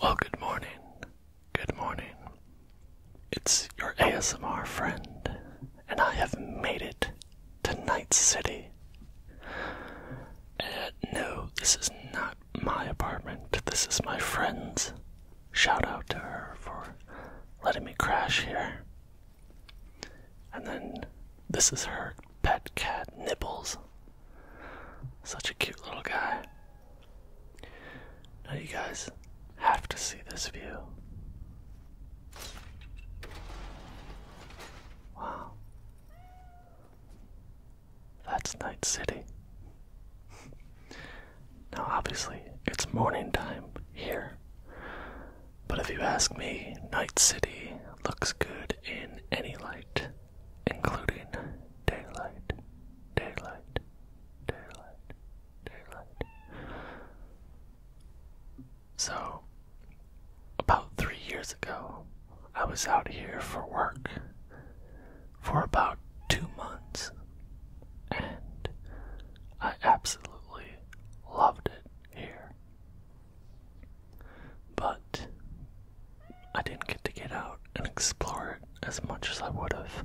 Well, good morning. Good morning. It's your ASMR friend, and I have made it to Night City. Uh, no, this is not my apartment, this is my friend's. Shout out to her for letting me crash here. And then this is her pet cat, Nibbles. Such a cute little guy. Now, you guys have to see this view. Wow. That's Night City. now, obviously, it's morning time here. But if you ask me, Night City looks good in any light including daylight, daylight, daylight, daylight. So, about three years ago, I was out here for work for about two months, and I absolutely loved it here. But I didn't get to get out and explore it as much as I would have.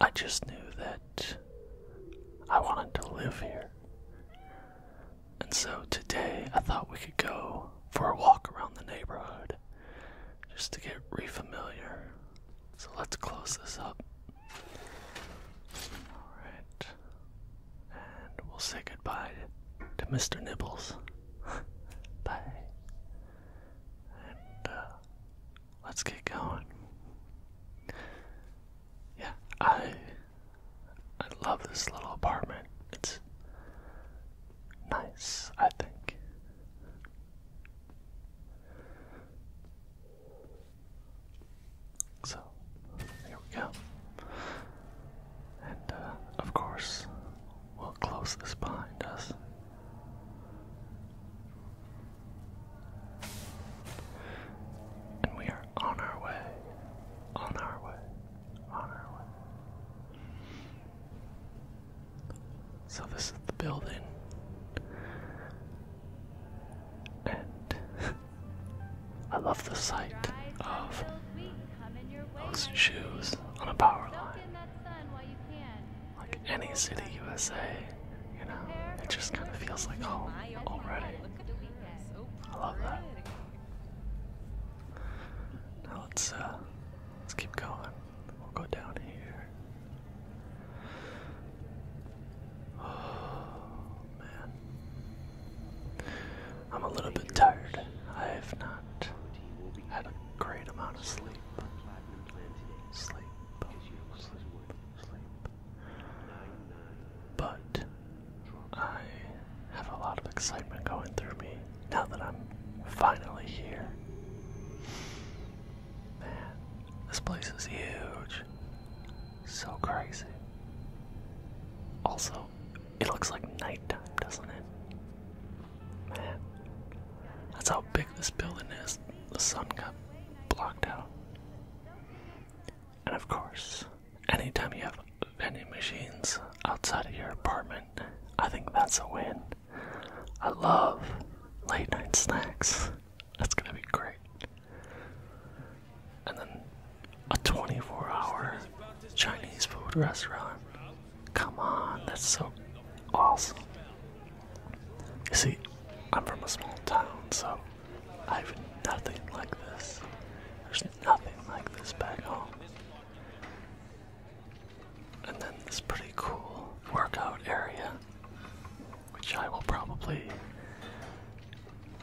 I just knew that I wanted to live here. And so today I thought we could go for a walk around the neighborhood just to get re-familiar. So let's close this up. Alright and we'll say goodbye to Mr. Nibbles. Bye. And uh, let's get going. Yeah, I I love this little apartment. It's nice, I think so we go. And uh, of course, we'll close this behind us. And we are on our way, on our way, on our way. So, this is the building. And I love the sight of those shoes on a power line. Like any city USA, you know, it just kind of feels like home already. I love that. Now let's uh, let's keep going. We'll go down here. man. I'm a little bit tired. I have not had a great amount of sleep. Sleep, sleep, sleep. But I have a lot of excitement going through me now that I'm finally here. Man, this place is huge. So crazy. Also, it looks like nighttime, doesn't it? Man, that's how big this building is. The sun got blocked out. And of course, anytime you have vending machines outside of your apartment, I think that's a win. I love late night snacks. That's gonna be great and then a 24 hour Chinese food restaurant. Come on, that's so awesome. You see, I'm from a small town, so I have nothing like this. There's nothing like this back home. And then this pretty cool workout area, which I will probably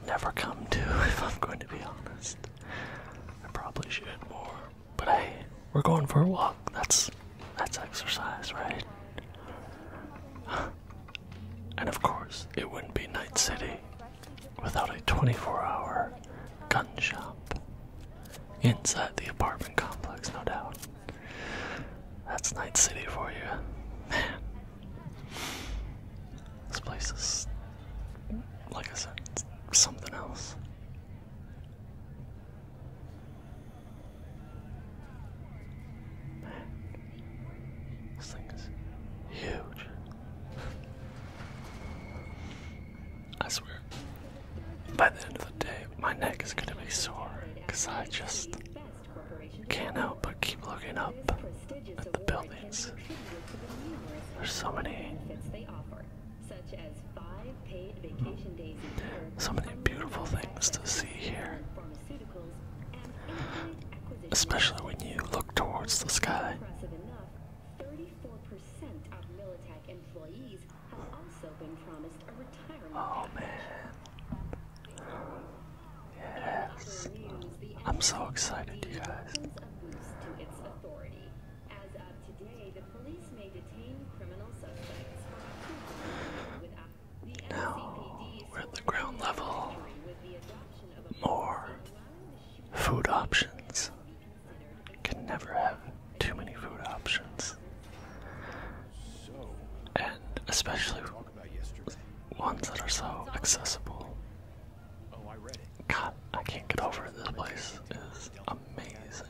never come to, if I'm going to be honest. I probably should more. But hey, we're going for a walk. That's that's exercise, right? and of course, it wouldn't be Night City without a 24-hour gun shop inside the apartment complex, no doubt. That's Night City for you, man. This place is, like I said, something else. Man, this thing is huge. I swear, by the end of the day, my neck is gonna be sore because I just can't help but keep looking up at the buildings. There's so many. So many beautiful things to see here. Especially when you look towards the sky. Oh man. Yes. I'm so excited, you guys. Now we're at the ground level. More food options. Can never have too many food options. And especially ones that are so accessible. I God, I can't get over it. This place is amazing.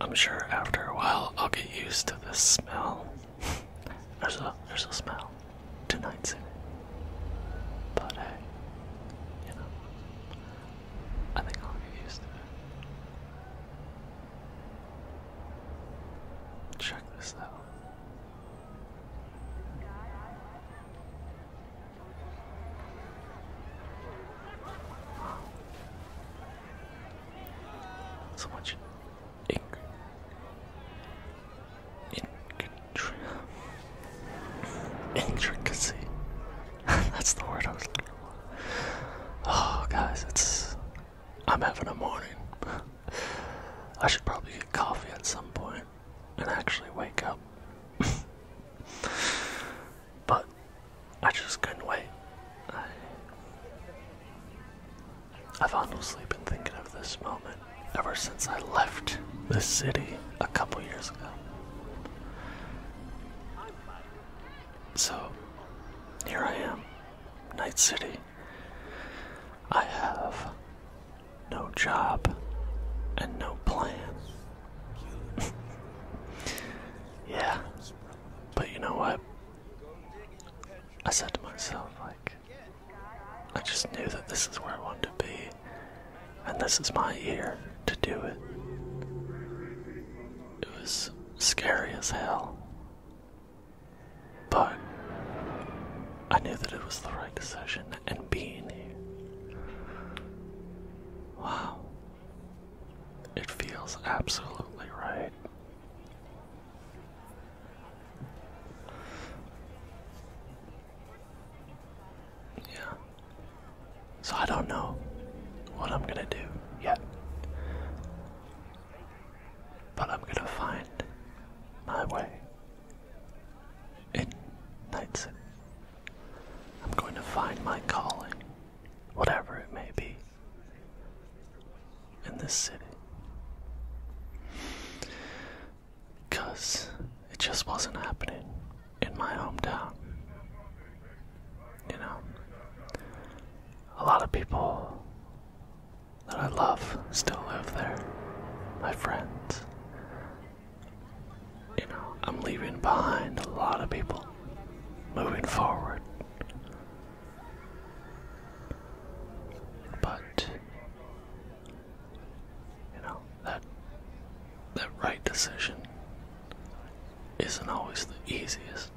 I'm sure after a while I'll get used to the smell. there's a there's a smell. Tonight's in it. But hey, you know. I think I'll get used to it. Check this out. So much ink in intricacy. That's the word I was looking for. Oh, guys, it's I'm having a morning. I should probably get coffee at some point and actually wake up. but I just couldn't wait. I, have honestly been thinking of this moment ever since I left this city a couple years ago. So, here I am Night City. I have no job and no plan. yeah, but you know what? I said to myself, like, I just knew that this is where I wanted to be, and this is my year to do it. It was scary as hell. But I knew that it was the right decision and being here. Wow. It feels absolutely right. Yeah. So I don't know what I'm gonna do yet. But I'm gonna find my way in Nightson. I'm going to find my calling, whatever it may be, in this city. Because it just wasn't happening in my hometown. You know, a lot of people that I love still live there. My friends. You know, I'm leaving behind a lot of people, moving forward. But you know that that right decision isn't always the easiest.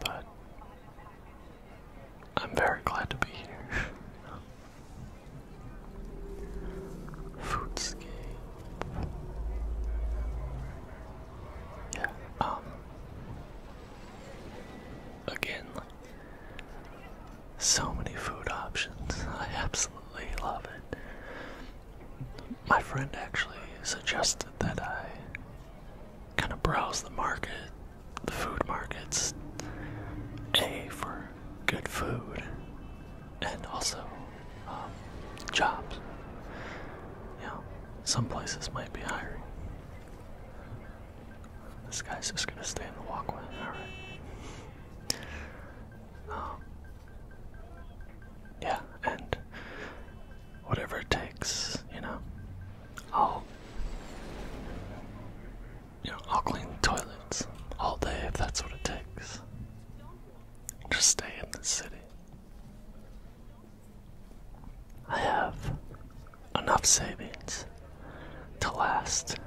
But I'm very glad to be here. Foodscape. Yeah, um again like, so many food options. I absolutely love it. My friend actually suggested that I kind of browse the market, the food markets, A, for good food, and also um, jobs. You know, some places might be hiring. This guy's just gonna stay in the walkway, alright. Um, yeah, and whatever it takes, you know. I'll, you know, I'll clean toilets all day if that's what it takes. Just stay in the city. I have enough savings to last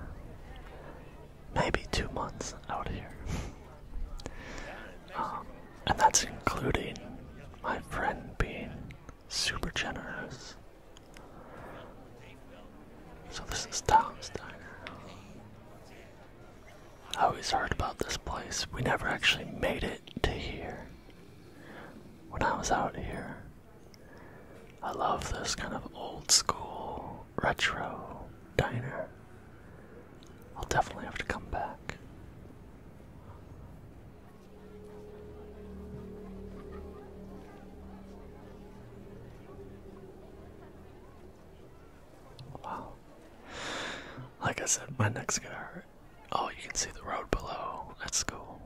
maybe two months out here. Um, and that's including my friend being super generous. So this is Tom's Diner. I always heard about this place. We never actually made it to here. When I was out here, I love this kind of old school retro diner. I'll definitely have to come back. Wow. Like I said, my neck's gonna hurt. Oh, you can see the road below. That's cool.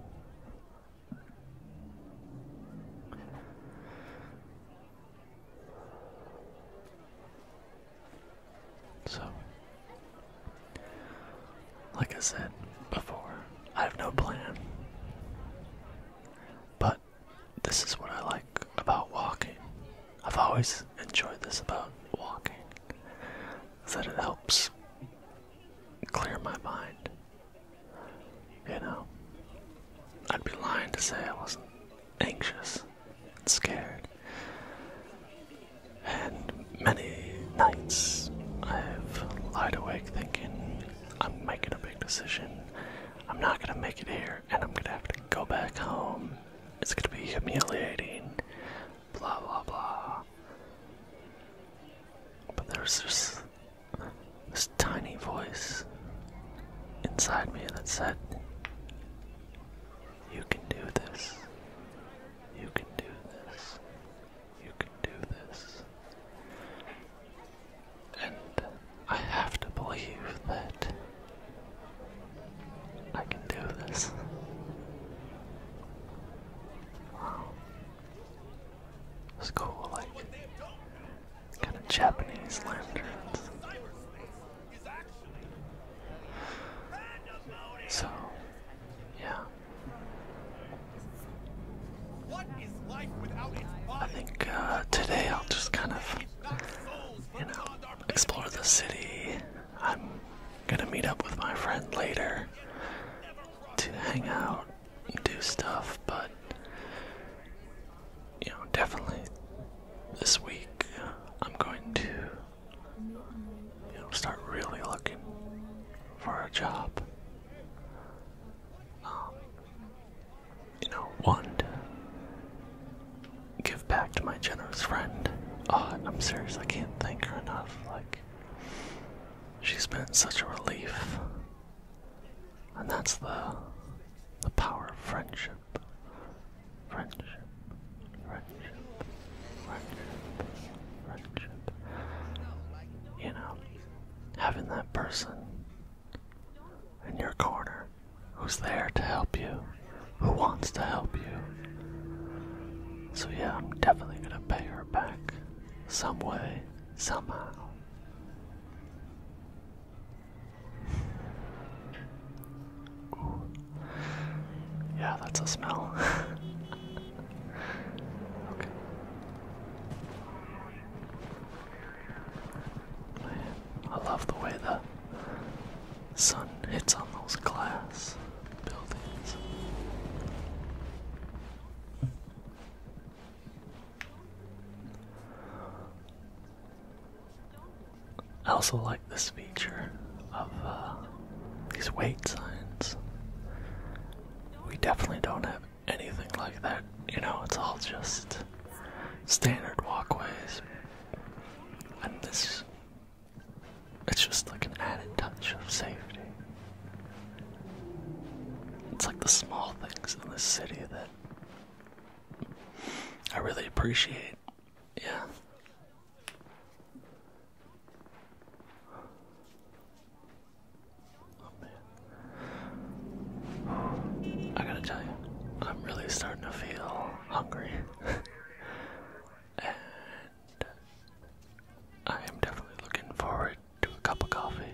So, like I said before, I have no plan. But this is what I like about walking. I've always enjoyed this about walking, is that it helps clear my mind. You know, I'd be lying to say I wasn't anxious and scared and many nights I've lied awake thinking I'm making a big decision. I'm not gonna make it here, and I'm gonna have to go back home. It's gonna be humiliating. Blah blah blah. But there's this tiny voice inside me that said, you can do this. You can do this. You can do this. And I have to believe that I can do this. Wow. It's cool, like kind of Japanese lanterns. So, yeah. I think uh, today I'll just kind of, you know, explore the city. I'm gonna meet up with my friend later to hang out and do stuff, but, you know, definitely this week I'm going to you know, start really looking for a job. Um, you know, want to give back to my generous friend. Oh, I'm serious, I can't thank her enough. Like, she's been such a relief. And that's the the power of friendship. Friendship friendship, friendship, friendship. You know, having that person in your corner who's there to help you, who wants to help you. So, yeah, I'm definitely gonna pay her back some way, somehow. Yeah, that's a smell. okay. Man, I love the way the sun hits on those glass buildings. I also like this view of uh, these weight signs. We definitely don't have anything like that. You know, it's all just standard walkways. And this, it's just like an added touch of safety. It's like the small things in this city that I really appreciate. Yeah. Oh man. I gotta tell you, I'm really starting to feel hungry. and I am definitely looking forward to a cup of coffee.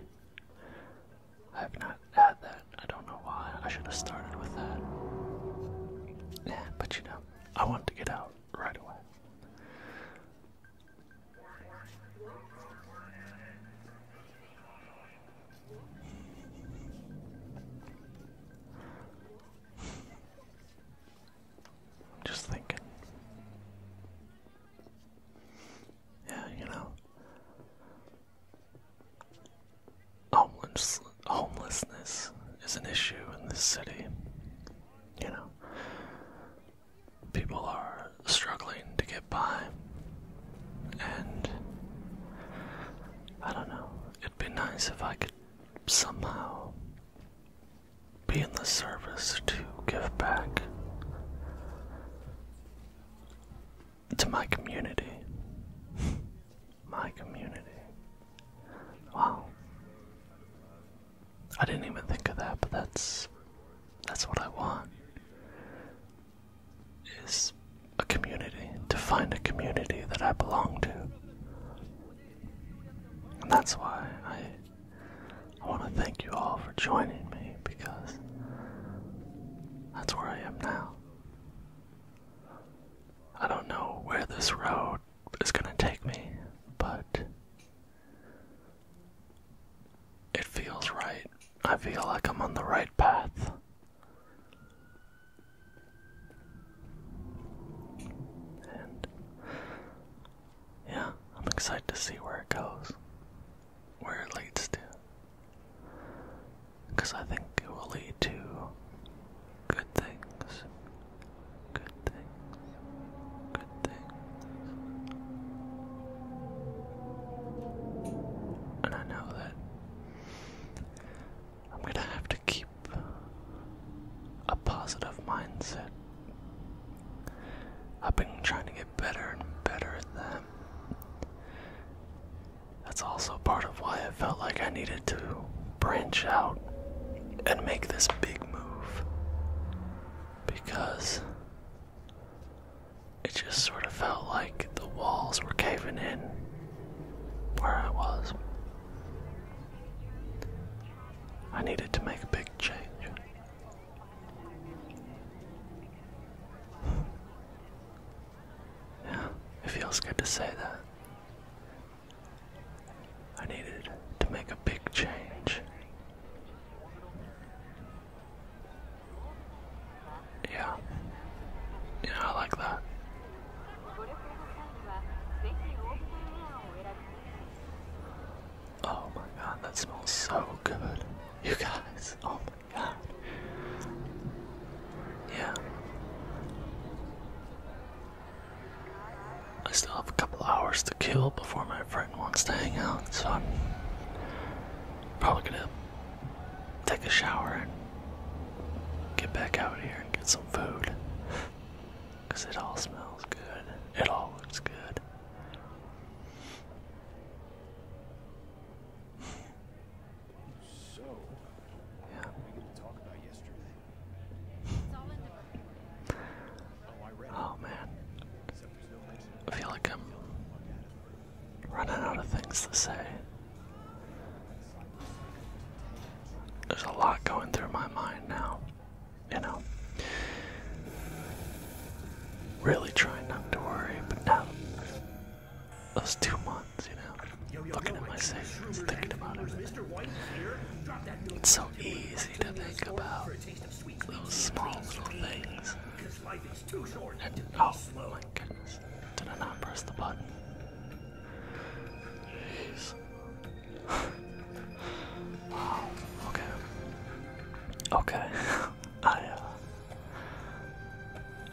I have not had that. I don't know why. I should have started with that. Yeah, but you know, I want to get out right away. just thinking. Yeah, you know. Homeless, homelessness is an issue in this city you know, people are struggling to get by, and I don't know, it'd be nice if I could somehow be in the service to give back to my community. my community. Wow. I didn't even think of that, but that's that's what I want. Is a community to find a community that I belong to. And that's why I I want to thank you all for joining me because that's where I am now. I don't know where this road it's gonna take me, but it feels right. I feel like I'm on the right path. And yeah, I'm excited to see where it goes, where it leads to. Because I think it will lead to good things, good things, good things. And I know that I'm gonna have to keep a positive mindset. I've been trying to get better and better at them. That's also part of why I felt like I needed to branch out and make this big move because it just sort of felt like the walls were caving in where I was. I needed to make a big change. yeah, it feels good to say that. I needed to make a big change. Yeah. Yeah, I like that. Oh my god, that smells so good. You guys, oh my god. Yeah. I still have a couple hours to kill before my friend wants to hang out, so I'm probably gonna take a shower and get back out here and get some food. Because it all smells good, it all looks good. yeah oh man. I feel like I'm running out of things to say. There's a lot going through my mind now. You know? Really trying not to worry, but now those two months, you know, looking at my savings, thinking about everything. It's so easy to think about those small little things. Oh my goodness. Did I not press the button? Jeez. wow. Okay. Okay. I uh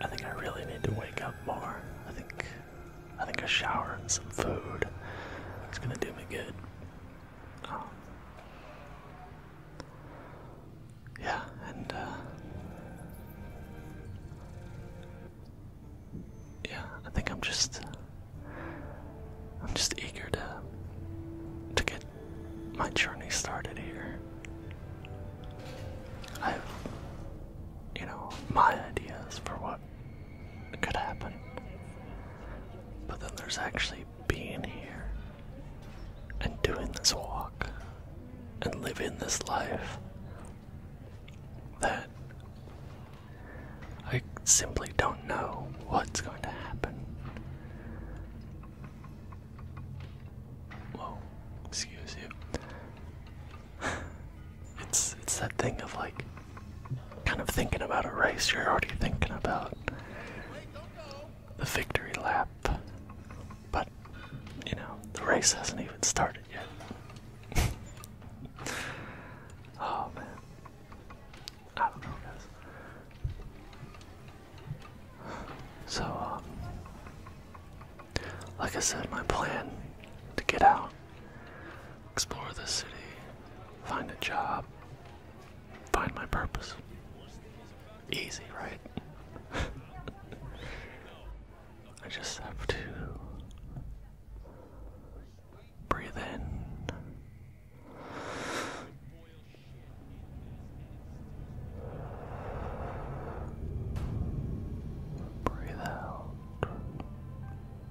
I think I really need to wake up more. I think I think a shower and some food is gonna do me good. Um, yeah, and uh, yeah, I think I'm just I'm just eager to to get my journey started here. i you know my ideas for what it could happen. But then there's actually being here and doing this walk and living this life that I simply don't know what's going to happen. Whoa, excuse you. it's it's that thing of like kind of thinking about a race, you're already thinking about the victory lap. But, you know, the race hasn't even started yet. oh man. I don't know, So, um, like I said, my plan to get out explore the city, find a job, find my purpose. Easy, right? I just have to breathe in. Breathe out.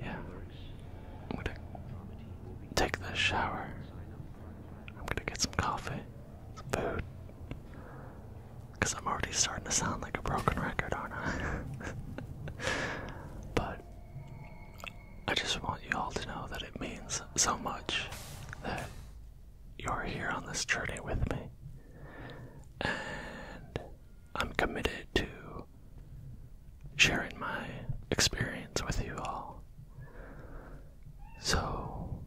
Yeah. I'm gonna take the shower. I'm gonna get some coffee, some food. Because I'm already starting to sound like a broken record, aren't I? but I just want you all to know that it means so much that you're here on this journey with me. And I'm committed to sharing my experience with you all. So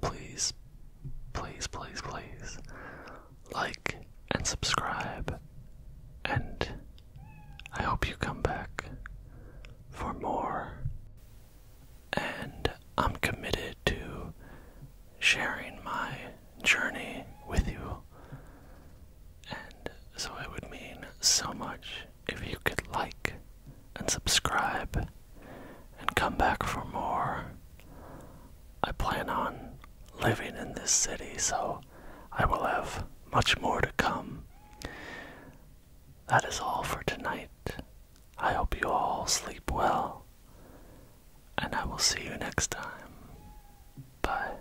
please, please, please, please like and subscribe, and I hope you come back for more. And I'm committed to sharing my journey with you and so it would mean so much if you could like and subscribe and come back for more. I plan on living in this city, so I will have much more to come. That is all for tonight. I hope you all sleep well, and I will see you next time. Bye.